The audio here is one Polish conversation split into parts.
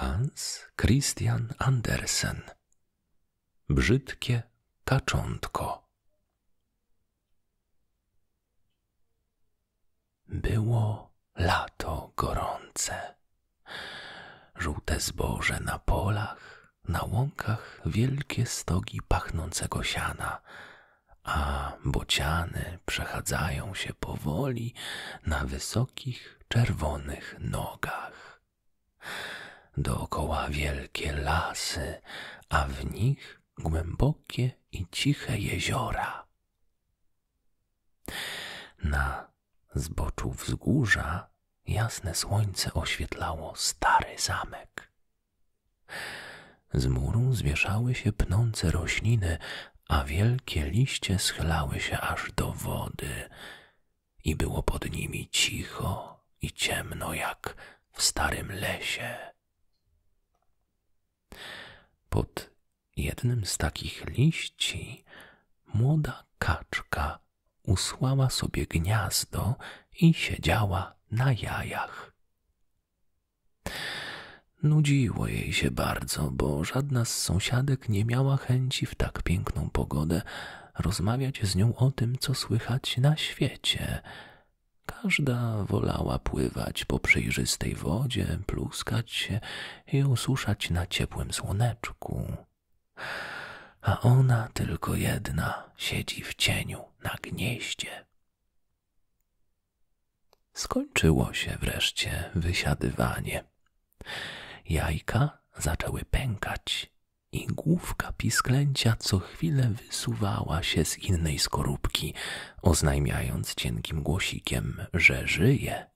Hans Christian Andersen Brzydkie taczątko. Było lato gorące. Żółte zboże na polach, na łąkach wielkie stogi pachnącego siana, a bociany przechadzają się powoli na wysokich, czerwonych nogach. Dookoła wielkie lasy, a w nich głębokie i ciche jeziora. Na z boczu wzgórza jasne słońce oświetlało stary zamek. Z muru zwieszały się pnące rośliny, a wielkie liście schlały się aż do wody i było pod nimi cicho i ciemno jak w starym lesie. Pod jednym z takich liści młoda kaczka usłała sobie gniazdo i siedziała na jajach. Nudziło jej się bardzo, bo żadna z sąsiadek nie miała chęci w tak piękną pogodę rozmawiać z nią o tym, co słychać na świecie. Każda wolała pływać po przejrzystej wodzie, pluskać się i osuszać na ciepłym słoneczku a ona tylko jedna siedzi w cieniu na gnieździe. Skończyło się wreszcie wysiadywanie. Jajka zaczęły pękać i główka pisklęcia co chwilę wysuwała się z innej skorupki, oznajmiając cienkim głosikiem, że żyje.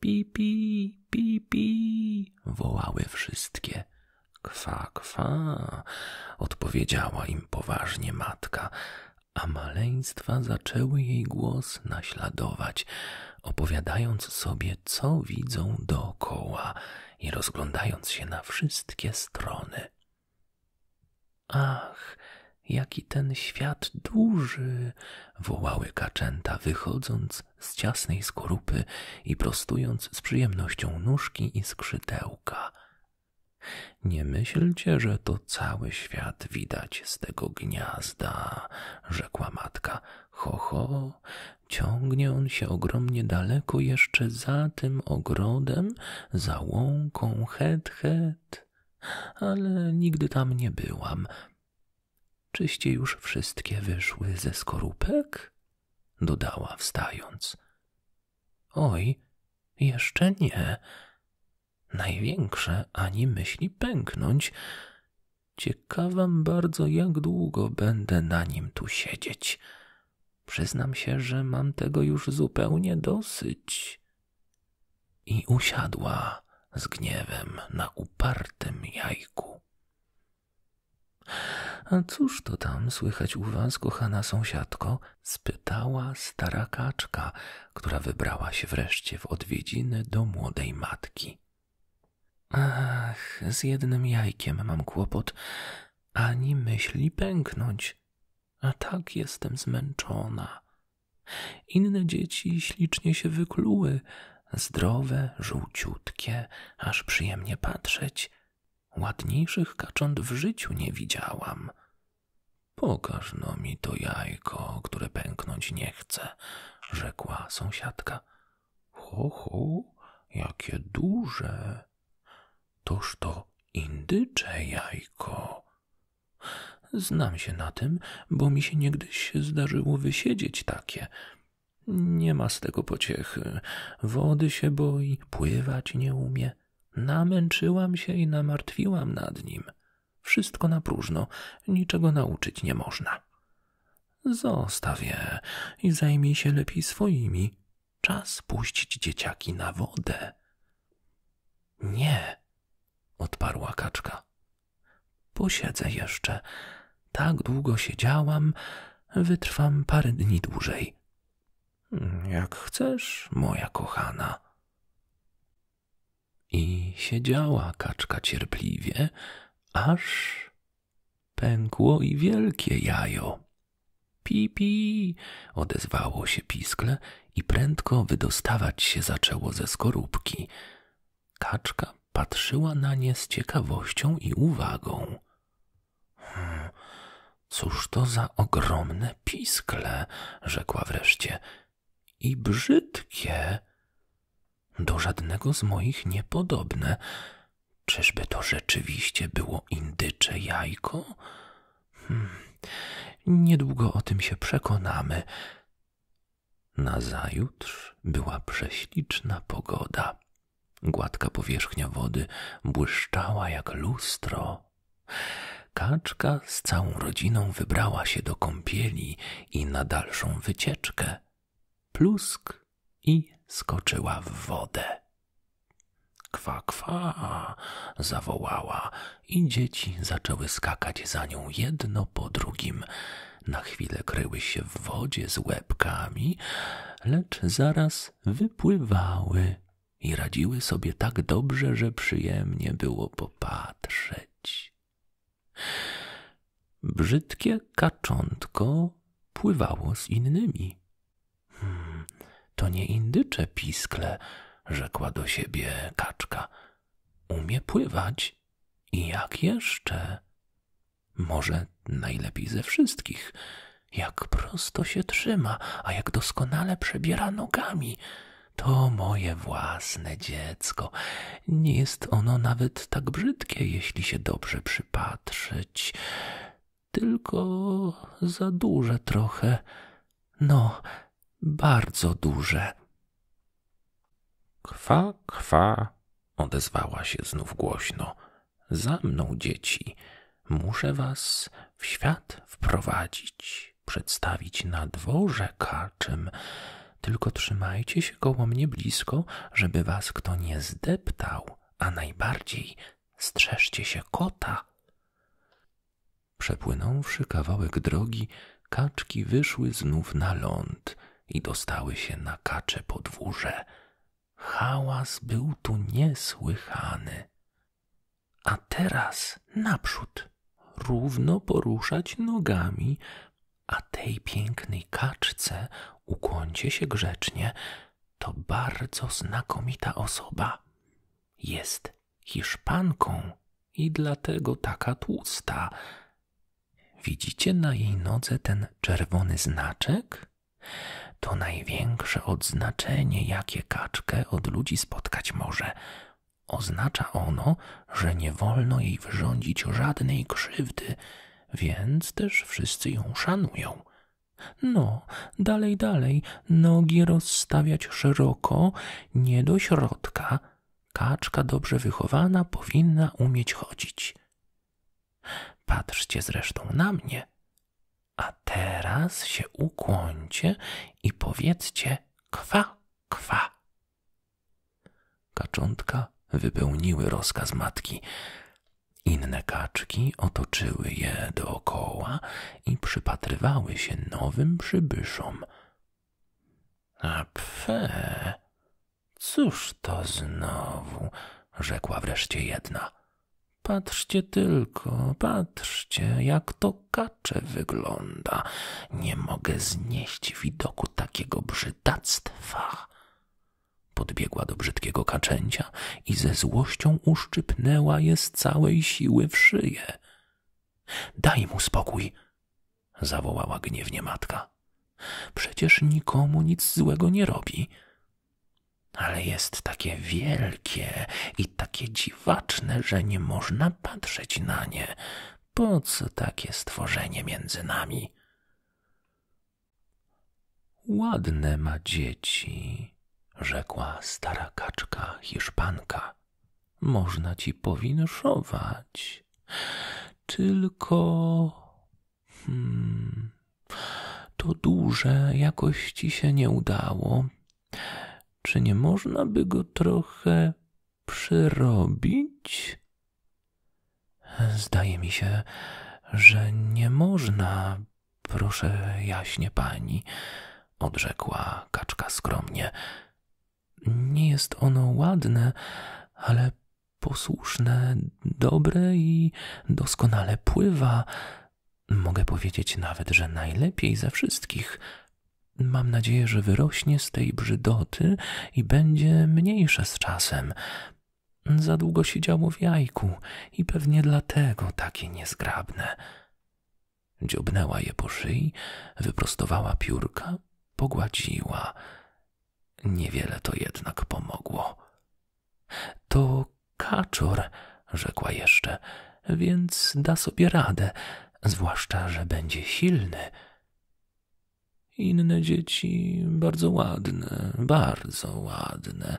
Pipi, pipi, wołały wszystkie. Kwa, kwa, odpowiedziała im poważnie matka, a maleństwa zaczęły jej głos naśladować, opowiadając sobie, co widzą dookoła i rozglądając się na wszystkie strony. Ach, jaki ten świat duży! wołały kaczęta, wychodząc z ciasnej skorupy i prostując z przyjemnością nóżki i skrzydełka. Nie myślcie, że to cały świat widać z tego gniazda, rzekła matka. Ho, ho, ciągnie on się ogromnie daleko jeszcze za tym ogrodem, za łąką het, het. Ale nigdy tam nie byłam. Czyście już wszystkie wyszły ze skorupek? dodała wstając. Oj, jeszcze nie. Największe ani myśli pęknąć. Ciekawam bardzo, jak długo będę na nim tu siedzieć. Przyznam się, że mam tego już zupełnie dosyć. I usiadła z gniewem na upartym jajku. A cóż to tam słychać u was, kochana sąsiadko? spytała stara kaczka, która wybrała się wreszcie w odwiedziny do młodej matki. Ach, z jednym jajkiem mam kłopot, ani myśli pęknąć, a tak jestem zmęczona. Inne dzieci ślicznie się wykluły, zdrowe, żółciutkie, aż przyjemnie patrzeć. Ładniejszych kacząt w życiu nie widziałam. Pokaż no mi to jajko, które pęknąć nie chce, rzekła sąsiadka. Ho, ho, jakie duże. Toż to indycze jajko. Znam się na tym, bo mi się niegdyś zdarzyło wysiedzieć takie. Nie ma z tego pociechy. Wody się boi, pływać nie umie. Namęczyłam się i namartwiłam nad nim. Wszystko na próżno, niczego nauczyć nie można. Zostaw je i zajmij się lepiej swoimi. Czas puścić dzieciaki na wodę. Nie, odparła kaczka posiedzę jeszcze. Tak długo siedziałam, wytrwam parę dni dłużej. Jak chcesz, moja kochana. I siedziała kaczka cierpliwie, aż pękło i wielkie jajo. Pi pi! odezwało się piskle i prędko wydostawać się zaczęło ze skorupki. Kaczka patrzyła na nie z ciekawością i uwagą. Hmm, cóż to za ogromne piskle, rzekła wreszcie, i brzydkie. Do żadnego z moich niepodobne. Czyżby to rzeczywiście było indycze jajko? Hmm, niedługo o tym się przekonamy. Nazajutrz była prześliczna pogoda. Gładka powierzchnia wody błyszczała jak lustro. Kaczka z całą rodziną wybrała się do kąpieli i na dalszą wycieczkę. Plusk i skoczyła w wodę. Kwa, kwa, zawołała i dzieci zaczęły skakać za nią jedno po drugim, na chwilę kryły się w wodzie z łebkami, lecz zaraz wypływały i radziły sobie tak dobrze, że przyjemnie było popatrzeć. Brzydkie kaczątko pływało z innymi. Hmm, to nie indycze piskle, rzekła do siebie kaczka. Umie pływać i jak jeszcze. Może najlepiej ze wszystkich. Jak prosto się trzyma, a jak doskonale przebiera nogami. To moje własne dziecko. Nie jest ono nawet tak brzydkie, jeśli się dobrze przypatrzeć. Tylko za duże trochę. No, bardzo duże. Kwa, kwa, odezwała się znów głośno. Za mną, dzieci, muszę was w świat wprowadzić, przedstawić na dworze kaczym. Tylko trzymajcie się koło mnie blisko, żeby was kto nie zdeptał, a najbardziej strzeżcie się kota. Przepłynąwszy kawałek drogi, kaczki wyszły znów na ląd i dostały się na kacze podwórze. Hałas był tu niesłychany. A teraz naprzód, równo poruszać nogami, a tej pięknej kaczce ukłoncie się grzecznie. To bardzo znakomita osoba. Jest Hiszpanką i dlatego taka tłusta. Widzicie na jej nodze ten czerwony znaczek? To największe odznaczenie, jakie kaczkę od ludzi spotkać może. Oznacza ono, że nie wolno jej wyrządzić żadnej krzywdy, więc też wszyscy ją szanują. No, dalej, dalej, nogi rozstawiać szeroko, nie do środka. Kaczka dobrze wychowana powinna umieć chodzić. Patrzcie zresztą na mnie. A teraz się ukłońcie i powiedzcie kwa, kwa. Kaczątka wypełniły rozkaz matki. Inne kaczki otoczyły je dookoła i przypatrywały się nowym przybyszom. A pfe, cóż to znowu, rzekła wreszcie jedna. Patrzcie tylko, patrzcie, jak to kacze wygląda. Nie mogę znieść widoku takiego brzydactwa. Podbiegła do brzydkiego kaczęcia i ze złością uszczypnęła je z całej siły w szyję. Daj mu spokój, zawołała gniewnie matka. Przecież nikomu nic złego nie robi ale jest takie wielkie i takie dziwaczne, że nie można patrzeć na nie. Po co takie stworzenie między nami? Ładne ma dzieci, rzekła stara kaczka hiszpanka. Można ci powinszować. Tylko Hmm. To duże jakoś ci się nie udało. Czy nie można by go trochę przyrobić? Zdaje mi się, że nie można, proszę jaśnie pani, odrzekła kaczka skromnie. Nie jest ono ładne, ale posłuszne dobre i doskonale pływa. Mogę powiedzieć nawet, że najlepiej ze wszystkich. Mam nadzieję, że wyrośnie z tej brzydoty i będzie mniejsze z czasem. Za długo siedziało w jajku i pewnie dlatego takie niezgrabne. Dziobnęła je po szyi, wyprostowała piórka, pogładziła. Niewiele to jednak pomogło. To kaczor, rzekła jeszcze, więc da sobie radę, zwłaszcza, że będzie silny. Inne dzieci bardzo ładne, bardzo ładne.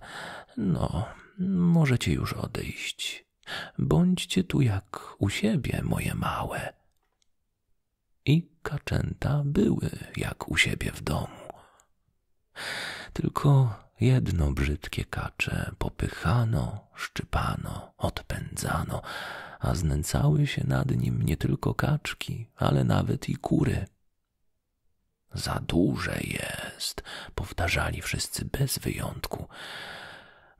No, możecie już odejść. Bądźcie tu jak u siebie, moje małe. I kaczęta były jak u siebie w domu. Tylko jedno brzydkie kacze popychano, szczypano, odpędzano, a znęcały się nad nim nie tylko kaczki, ale nawet i kury. Za duże jest, powtarzali wszyscy bez wyjątku.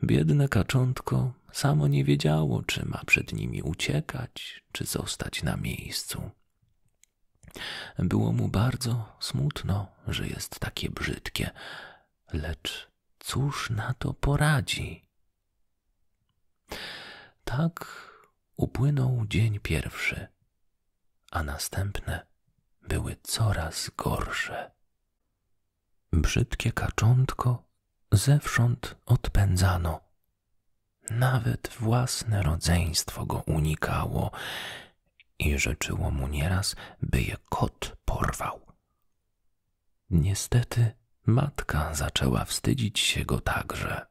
Biedne kaczątko samo nie wiedziało, czy ma przed nimi uciekać, czy zostać na miejscu. Było mu bardzo smutno, że jest takie brzydkie, lecz cóż na to poradzi? Tak upłynął dzień pierwszy, a następne były coraz gorsze. Brzydkie kaczątko zewsząd odpędzano. Nawet własne rodzeństwo go unikało i życzyło mu nieraz, by je kot porwał. Niestety matka zaczęła wstydzić się go także.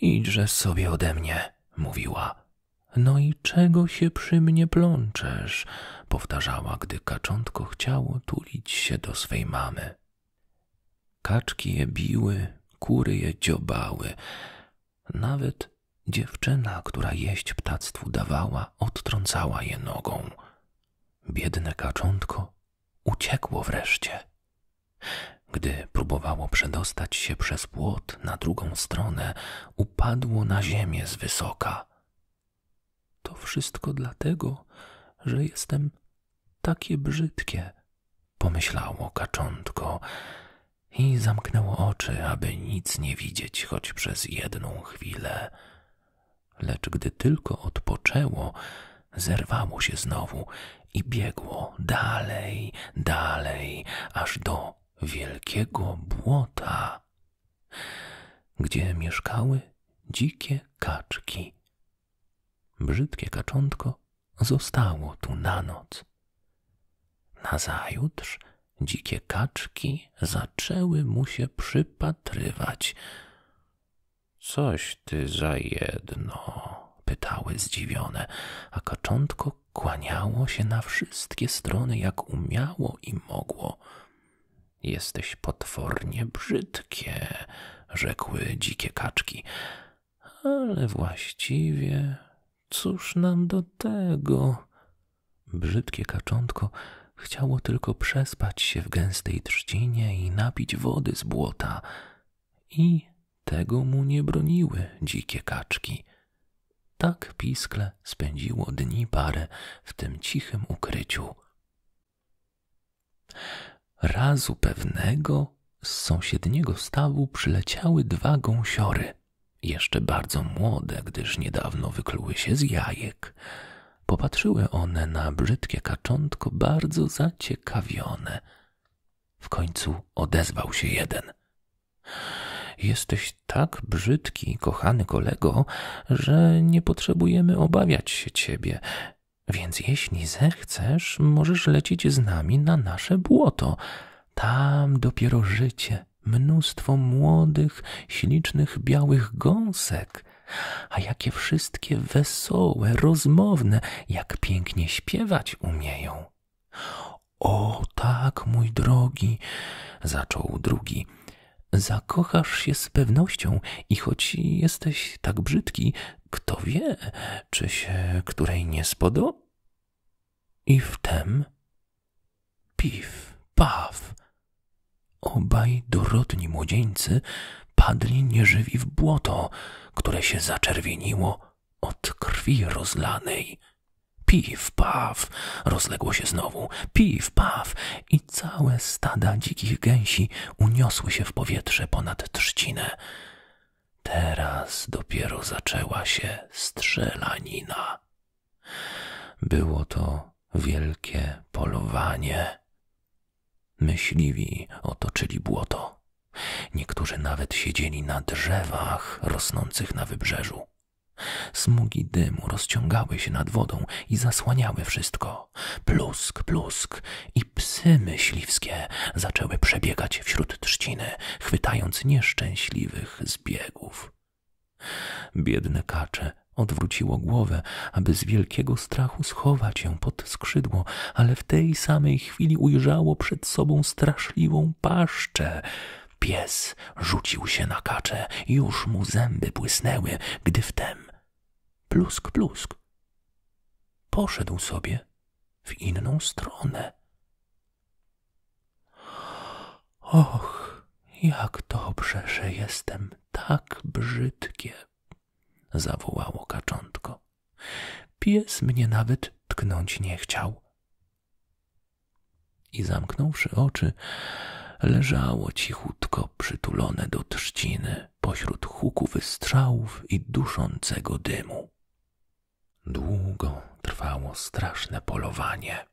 Idźże sobie ode mnie, mówiła. No i czego się przy mnie plączesz? powtarzała, gdy kaczątko chciało tulić się do swej mamy. Kaczki je biły, kury je dziobały, nawet dziewczyna, która jeść ptactwu dawała, odtrącała je nogą. Biedne kaczątko uciekło wreszcie. Gdy próbowało przedostać się przez płot na drugą stronę, upadło na ziemię z wysoka. To wszystko dlatego, że jestem takie brzydkie, pomyślało kaczątko i zamknęło oczy, aby nic nie widzieć choć przez jedną chwilę. Lecz gdy tylko odpoczęło, zerwało się znowu i biegło dalej, dalej, aż do wielkiego błota, gdzie mieszkały dzikie kaczki. Brzydkie kaczątko zostało tu na noc. Nazajutrz dzikie kaczki zaczęły mu się przypatrywać. Coś ty za jedno, pytały zdziwione, a kaczątko kłaniało się na wszystkie strony, jak umiało i mogło. Jesteś potwornie brzydkie, rzekły dzikie kaczki, ale właściwie cóż nam do tego? Brzydkie kaczątko chciało tylko przespać się w gęstej trzcinie i napić wody z błota, i tego mu nie broniły dzikie kaczki. Tak piskle spędziło dni parę w tym cichym ukryciu. Razu pewnego z sąsiedniego stawu przyleciały dwa gąsiory, jeszcze bardzo młode, gdyż niedawno wykluły się z jajek. Popatrzyły one na brzydkie kaczątko bardzo zaciekawione. W końcu odezwał się jeden. Jesteś tak brzydki, kochany kolego, że nie potrzebujemy obawiać się ciebie. Więc jeśli zechcesz, możesz lecieć z nami na nasze błoto. Tam dopiero życie, mnóstwo młodych, ślicznych, białych gąsek. A jakie wszystkie wesołe, rozmowne, jak pięknie śpiewać umieją. O tak, mój drogi, zaczął drugi. Zakochasz się z pewnością i choć jesteś tak brzydki, kto wie, czy się której nie spodoba. I wtem pif, paw. Obaj dorodni młodzieńcy padli nieżywi w błoto, które się zaczerwieniło od krwi rozlanej. Piw, paw, rozległo się znowu, piw, paw i całe stada dzikich gęsi uniosły się w powietrze ponad trzcinę. Teraz dopiero zaczęła się strzelanina. Było to wielkie polowanie. Myśliwi otoczyli błoto. Niektórzy nawet siedzieli na drzewach rosnących na wybrzeżu. Smugi dymu rozciągały się nad wodą i zasłaniały wszystko. Plusk, plusk i psy myśliwskie zaczęły przebiegać uciekacie wśród trzciny, chwytając nieszczęśliwych zbiegów. Biedne kacze odwróciło głowę, aby z wielkiego strachu schować ją pod skrzydło, ale w tej samej chwili ujrzało przed sobą straszliwą paszczę. Pies rzucił się na kaczę, już mu zęby błysnęły, gdy wtem plusk, plusk. Poszedł sobie w inną stronę, Och, jak dobrze, że jestem tak brzydkie, zawołało kaczątko. Pies mnie nawet tknąć nie chciał. I zamknąwszy oczy, leżało cichutko przytulone do trzciny pośród huku wystrzałów i duszącego dymu. Długo trwało straszne polowanie.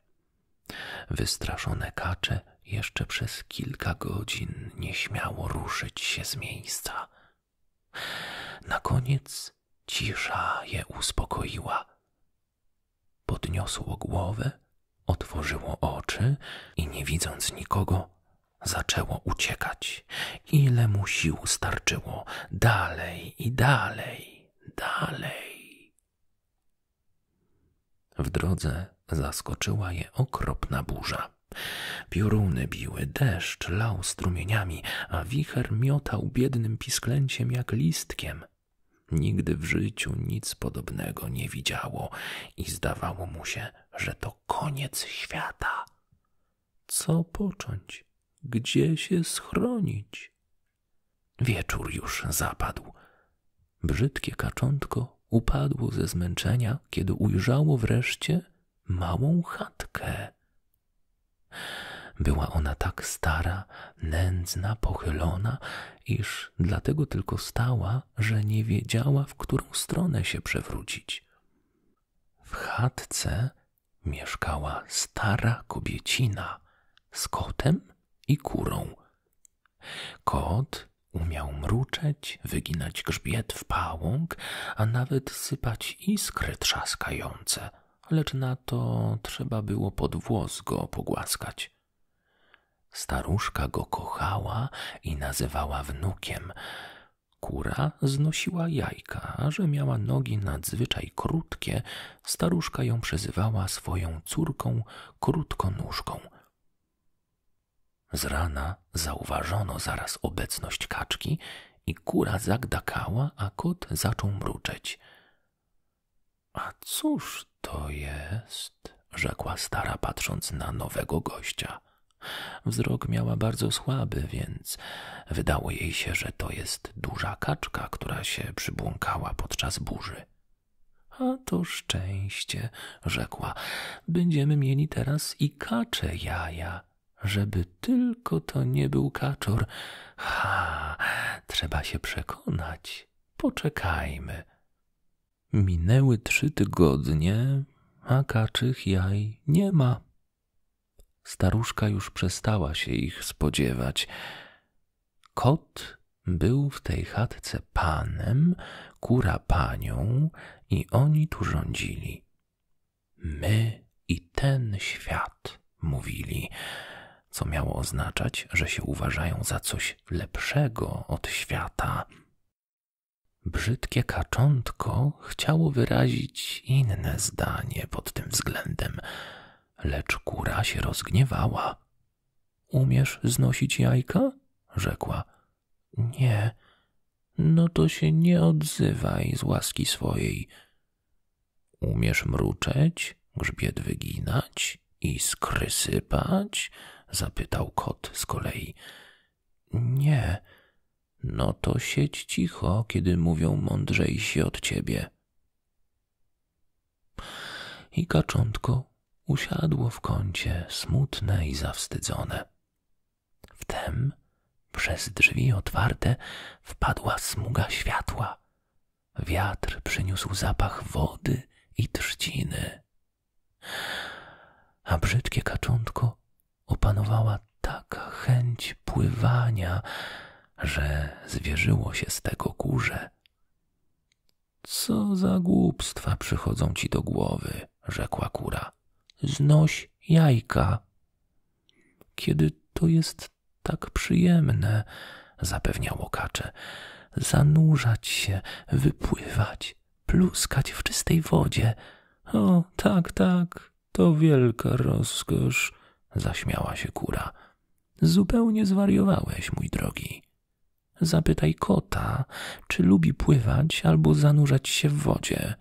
Wystraszone kacze jeszcze przez kilka godzin nie śmiało ruszyć się z miejsca. Na koniec cisza je uspokoiła. Podniosło głowę, otworzyło oczy i nie widząc nikogo, zaczęło uciekać, ile mu sił starczyło, dalej i dalej dalej. W drodze zaskoczyła je okropna burza. Pioruny biły, deszcz lał strumieniami, a wicher miotał biednym pisklęciem jak listkiem. Nigdy w życiu nic podobnego nie widziało i zdawało mu się, że to koniec świata. Co począć? Gdzie się schronić? Wieczór już zapadł. Brzydkie kaczątko upadło ze zmęczenia, kiedy ujrzało wreszcie małą chatkę. Była ona tak stara, nędzna, pochylona, iż dlatego tylko stała, że nie wiedziała, w którą stronę się przewrócić. W chatce mieszkała stara kobiecina z kotem i kurą. Kot umiał mruczeć, wyginać grzbiet w pałąk, a nawet sypać iskry trzaskające, lecz na to trzeba było pod włos go pogłaskać. Staruszka go kochała i nazywała wnukiem. Kura znosiła jajka, że miała nogi nadzwyczaj krótkie staruszka ją przezywała swoją córką krótkonóżką. Z rana zauważono zaraz obecność kaczki i kura zagdakała, a kot zaczął mruczeć. A cóż to jest? rzekła stara, patrząc na nowego gościa. Wzrok miała bardzo słaby, więc Wydało jej się, że to jest duża kaczka, która się przybłąkała podczas burzy. A to szczęście, rzekła, będziemy mieli teraz i kacze jaja, żeby tylko to nie był kaczor. Ha, trzeba się przekonać. Poczekajmy. Minęły trzy tygodnie, a kaczych jaj nie ma. Staruszka już przestała się ich spodziewać. Kot był w tej chatce panem, kura panią i oni tu rządzili. My i ten świat, mówili, co miało oznaczać, że się uważają za coś lepszego od świata. Brzydkie kaczątko chciało wyrazić inne zdanie pod tym względem lecz kura się rozgniewała. Umiesz znosić jajka? rzekła. Nie. No to się nie odzywaj z łaski swojej. Umiesz mruczeć, grzbiet wyginać i skrysypać? zapytał kot z kolei. Nie. No to siedź cicho, kiedy mówią mądrzejsi od ciebie. I kaczątko usiadło w kącie smutne i zawstydzone. Wtem przez drzwi otwarte wpadła smuga światła. Wiatr przyniósł zapach wody i trzciny. A brzydkie kaczątko opanowała taka chęć pływania, że zwierzyło się z tego kurze. Co za głupstwa przychodzą ci do głowy, rzekła kura. Znoś jajka. Kiedy to jest tak przyjemne, zapewniało kacze, zanurzać się, wypływać, pluskać w czystej wodzie. O, tak, tak, to wielka rozkosz, zaśmiała się kura. Zupełnie zwariowałeś, mój drogi. Zapytaj kota, czy lubi pływać albo zanurzać się w wodzie.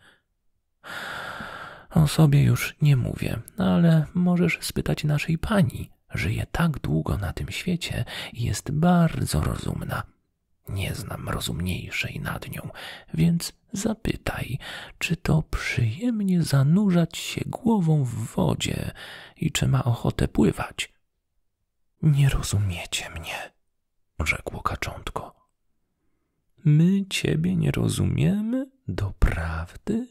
O sobie już nie mówię, ale możesz spytać naszej pani. Żyje tak długo na tym świecie i jest bardzo rozumna. Nie znam rozumniejszej nad nią, więc zapytaj, czy to przyjemnie zanurzać się głową w wodzie i czy ma ochotę pływać. Nie rozumiecie mnie, rzekło kaczątko. My ciebie nie rozumiemy doprawdy,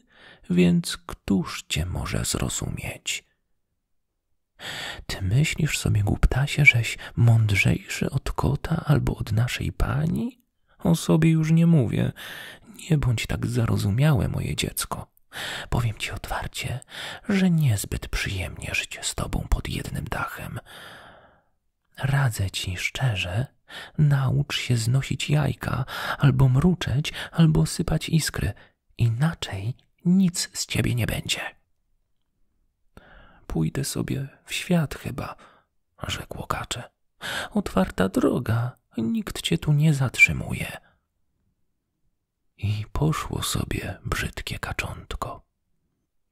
więc któż cię może zrozumieć? Ty myślisz sobie, głuptasie, żeś mądrzejszy od kota albo od naszej pani? O sobie już nie mówię. Nie bądź tak zarozumiałe, moje dziecko. Powiem ci otwarcie, że niezbyt przyjemnie żyć z tobą pod jednym dachem. Radzę ci szczerze, naucz się znosić jajka, albo mruczeć, albo sypać iskry. Inaczej nic z ciebie nie będzie. Pójdę sobie w świat chyba, rzekł Kacze. Otwarta droga, nikt cię tu nie zatrzymuje. I poszło sobie brzydkie kaczątko.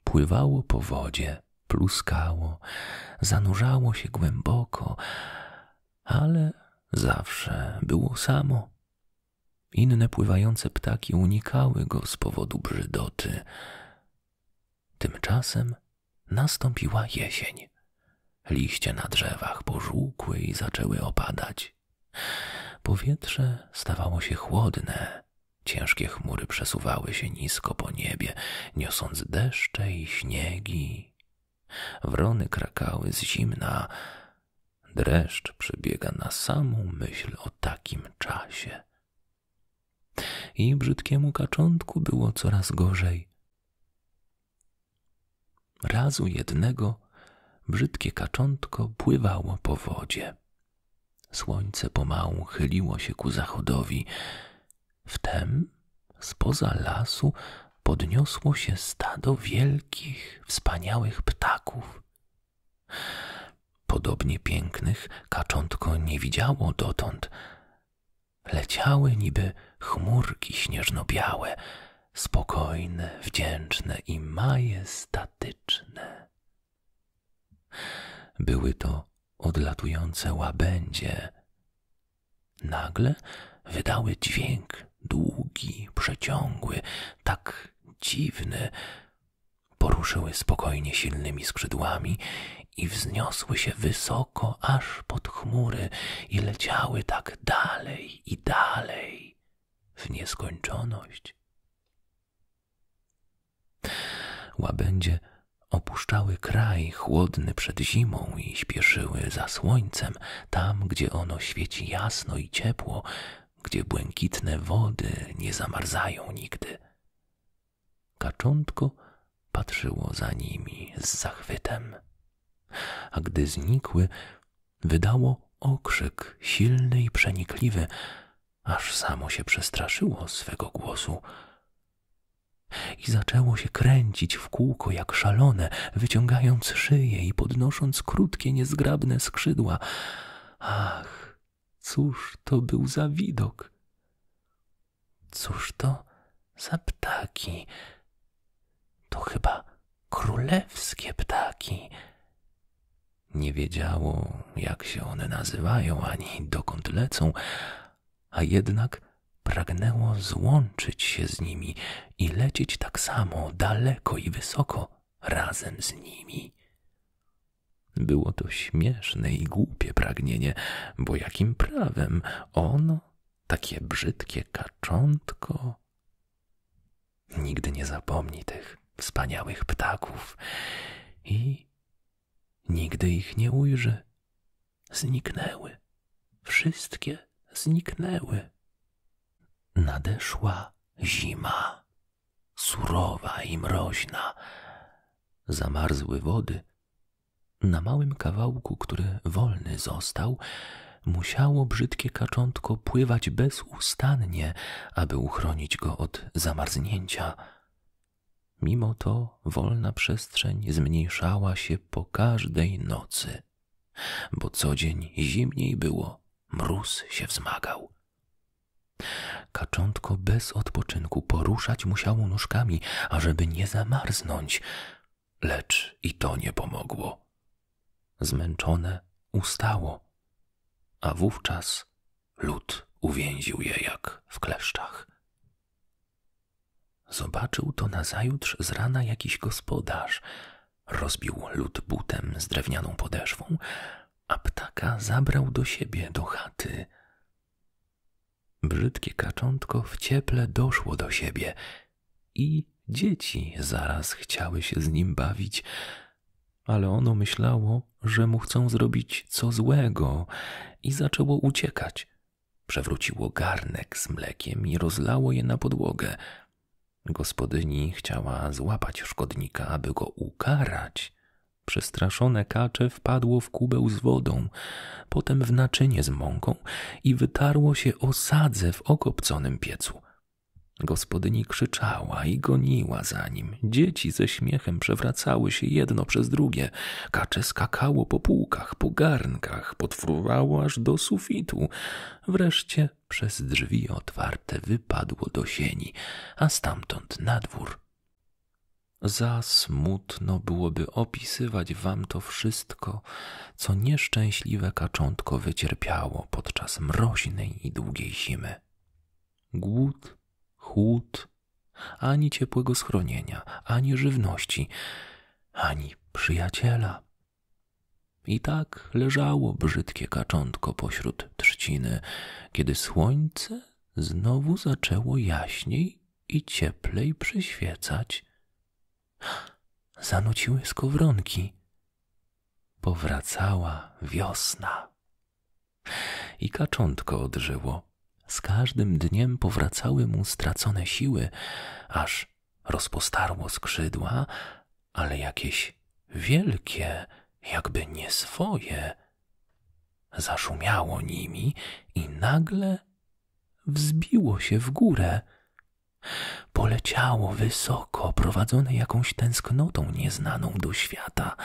Pływało po wodzie, pluskało, zanurzało się głęboko, ale zawsze było samo. Inne pływające ptaki unikały go z powodu brzydoty. Tymczasem nastąpiła jesień. Liście na drzewach pożółkły i zaczęły opadać. Powietrze stawało się chłodne. Ciężkie chmury przesuwały się nisko po niebie, niosąc deszcze i śniegi. Wrony krakały z zimna. Dreszcz przybiega na samą myśl o takim czasie. I brzydkiemu kaczątku było coraz gorzej. Razu jednego brzydkie kaczątko pływało po wodzie. Słońce pomału chyliło się ku zachodowi. Wtem z poza lasu podniosło się stado wielkich, wspaniałych ptaków. Podobnie pięknych kaczątko nie widziało dotąd. Leciały niby chmurki śnieżno-białe, spokojne, wdzięczne i majestatyczne. Były to odlatujące łabędzie. Nagle wydały dźwięk długi, przeciągły, tak dziwny. Poruszyły spokojnie silnymi skrzydłami i wzniosły się wysoko aż pod chmury i leciały tak dalej dalej i dalej w nieskończoność. Łabędzie opuszczały kraj chłodny przed zimą i śpieszyły za słońcem, tam gdzie ono świeci jasno i ciepło, gdzie błękitne wody nie zamarzają nigdy. Kaczątko patrzyło za nimi z zachwytem a gdy znikły, wydało okrzyk silny i przenikliwy, aż samo się przestraszyło swego głosu. I zaczęło się kręcić w kółko jak szalone, wyciągając szyję i podnosząc krótkie, niezgrabne skrzydła. Ach, cóż to był za widok! Cóż to za ptaki? To chyba królewskie ptaki. Nie wiedziało, jak się one nazywają, ani dokąd lecą, a jednak pragnęło złączyć się z nimi i lecieć tak samo daleko i wysoko razem z nimi. Było to śmieszne i głupie pragnienie, bo jakim prawem ono, takie brzydkie kaczątko, Nigdy nie zapomni tych wspaniałych ptaków i nigdy ich nie ujrzy. Zniknęły, wszystkie zniknęły. Nadeszła zima, surowa i mroźna. Zamarzły wody. Na małym kawałku, który wolny został, musiało brzydkie kaczątko pływać bezustannie, aby uchronić go od zamarznięcia. Mimo to wolna przestrzeń zmniejszała się po każdej nocy, bo co dzień zimniej było, mróz się wzmagał. Kaczątko bez odpoczynku poruszać musiało nóżkami, ażeby nie zamarznąć lecz i to nie pomogło. Zmęczone ustało, a wówczas lód uwięził je jak w kleszczach. Zobaczył to nazajutrz z rana jakiś gospodarz. Rozbił lód butem z drewnianą podeszwą, a ptaka zabrał do siebie do chaty. Brzydkie kaczątko w cieple doszło do siebie i dzieci zaraz chciały się z nim bawić, ale ono myślało, że mu chcą zrobić co złego i zaczęło uciekać. Przewróciło garnek z mlekiem i rozlało je na podłogę. Gospodyni chciała złapać szkodnika, aby go ukarać. Przestraszone kacze wpadło w kubeł z wodą, potem w naczynie z mąką i wytarło się osadze w okopconym piecu. Gospodyni krzyczała i goniła za nim. Dzieci ze śmiechem przewracały się jedno przez drugie. Kacze skakało po półkach, po garnkach, podfruwało aż do sufitu. Wreszcie przez drzwi otwarte wypadło do sieni, a stamtąd na dwór. Za smutno byłoby opisywać wam to wszystko, co nieszczęśliwe kaczątko wycierpiało podczas mroźnej i długiej zimy. Głód, chłód, ani ciepłego schronienia, ani żywności, ani przyjaciela. I tak leżało brzydkie kaczątko pośród trzciny, kiedy słońce znowu zaczęło jaśniej i cieplej przyświecać zanuciły skowronki. Powracała wiosna. I kaczątko odżyło. Z każdym dniem powracały mu stracone siły, aż rozpostarło skrzydła, ale jakieś wielkie, jakby nie swoje. Zaszumiało nimi i nagle wzbiło się w górę, Poleciało wysoko, prowadzone jakąś tęsknotą nieznaną do świata,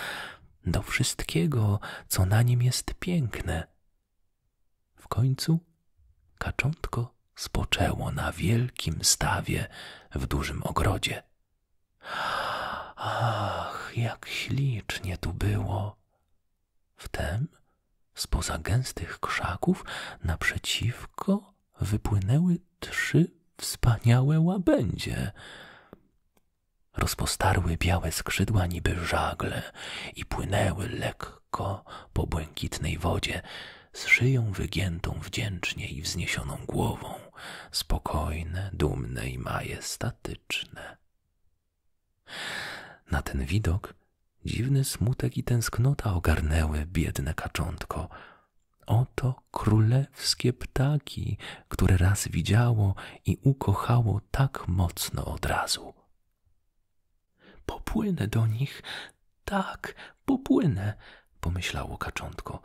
do wszystkiego, co na nim jest piękne. W końcu kaczątko spoczęło na wielkim stawie w dużym ogrodzie. Ach, jak ślicznie tu było! Wtem, spoza gęstych krzaków, naprzeciwko wypłynęły trzy wspaniałe łabędzie. Rozpostarły białe skrzydła niby żagle i płynęły lekko po błękitnej wodzie, z szyją wygiętą wdzięcznie i wzniesioną głową, spokojne, dumne i majestatyczne. Na ten widok dziwny smutek i tęsknota ogarnęły biedne kaczątko. Oto królewskie ptaki, które raz widziało i ukochało tak mocno od razu. Popłynę do nich, tak, popłynę, pomyślało kaczątko.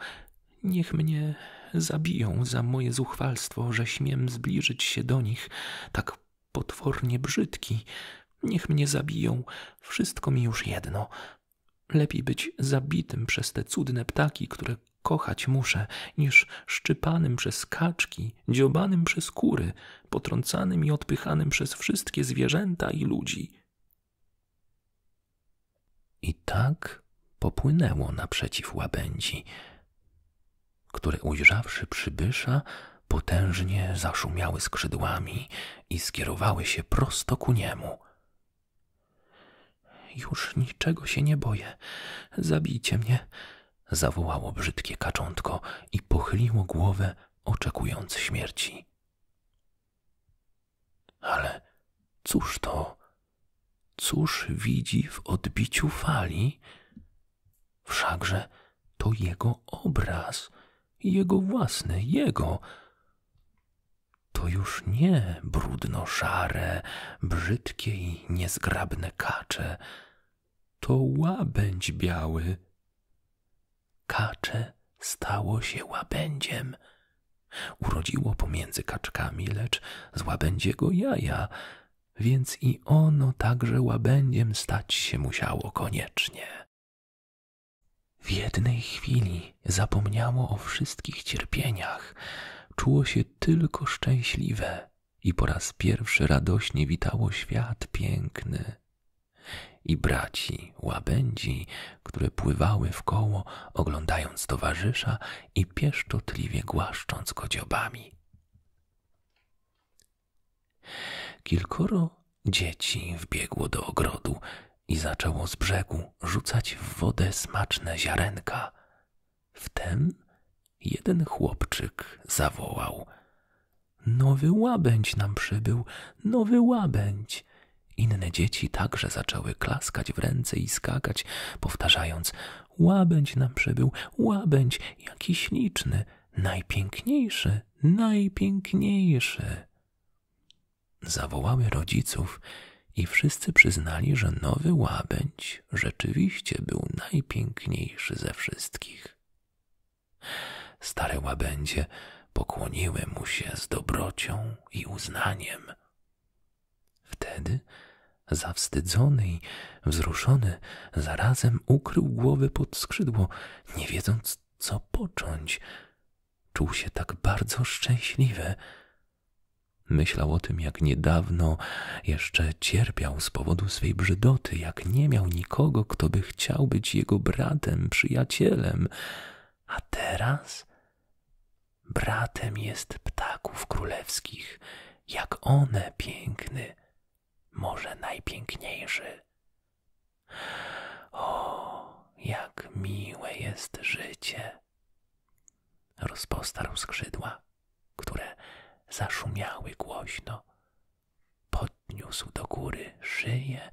Niech mnie zabiją za moje zuchwalstwo, że śmiem zbliżyć się do nich, tak potwornie brzydki. Niech mnie zabiją, wszystko mi już jedno. Lepiej być zabitym przez te cudne ptaki, które kochać muszę, niż szczypanym przez kaczki, dziobanym przez kury, potrącanym i odpychanym przez wszystkie zwierzęta i ludzi. I tak popłynęło naprzeciw łabędzi, które ujrzawszy przybysza, potężnie zaszumiały skrzydłami i skierowały się prosto ku niemu. Już niczego się nie boję. Zabijcie mnie. Zawołało brzydkie kaczątko i pochyliło głowę, oczekując śmierci. Ale cóż to? Cóż widzi w odbiciu fali? Wszakże to jego obraz, jego własny, jego to już nie brudno-szare, brzydkie i niezgrabne kacze, to łabędź biały. Kacze stało się łabędziem. Urodziło pomiędzy kaczkami, lecz z łabędziego jaja, więc i ono także łabędziem stać się musiało koniecznie. W jednej chwili zapomniało o wszystkich cierpieniach, czuło się tylko szczęśliwe i po raz pierwszy radośnie witało świat piękny. I braci, łabędzi, które pływały w koło, oglądając towarzysza i pieszczotliwie głaszcząc go dziobami. Kilkoro dzieci wbiegło do ogrodu, i zaczęło z brzegu rzucać w wodę smaczne ziarenka. Wtem jeden chłopczyk zawołał: Nowy łabędź nam przybył, nowy łabędź. Inne dzieci także zaczęły klaskać w ręce i skakać, powtarzając: Łabędź nam przybył, łabędź, jaki śliczny, najpiękniejszy, najpiękniejszy. Zawołały rodziców i wszyscy przyznali, że nowy łabędź rzeczywiście był najpiękniejszy ze wszystkich. Stare łabędzie pokłoniły mu się z dobrocią i uznaniem. Wtedy zawstydzony i wzruszony zarazem ukrył głowę pod skrzydło, nie wiedząc co począć, Czuł się tak bardzo szczęśliwy. Myślał o tym, jak niedawno jeszcze cierpiał z powodu swej brzydoty, jak nie miał nikogo, kto by chciał być jego bratem, przyjacielem. A teraz bratem jest ptaków królewskich, jak one piękny, może najpiękniejszy. O, jak miłe jest życie, Rozpostarł skrzydła, które zaszumiały głośno. Podniósł do góry szyję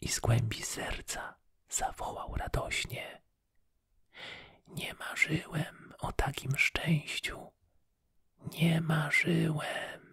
i z głębi serca zawołał radośnie. Nie marzyłem o takim szczęściu. Nie marzyłem.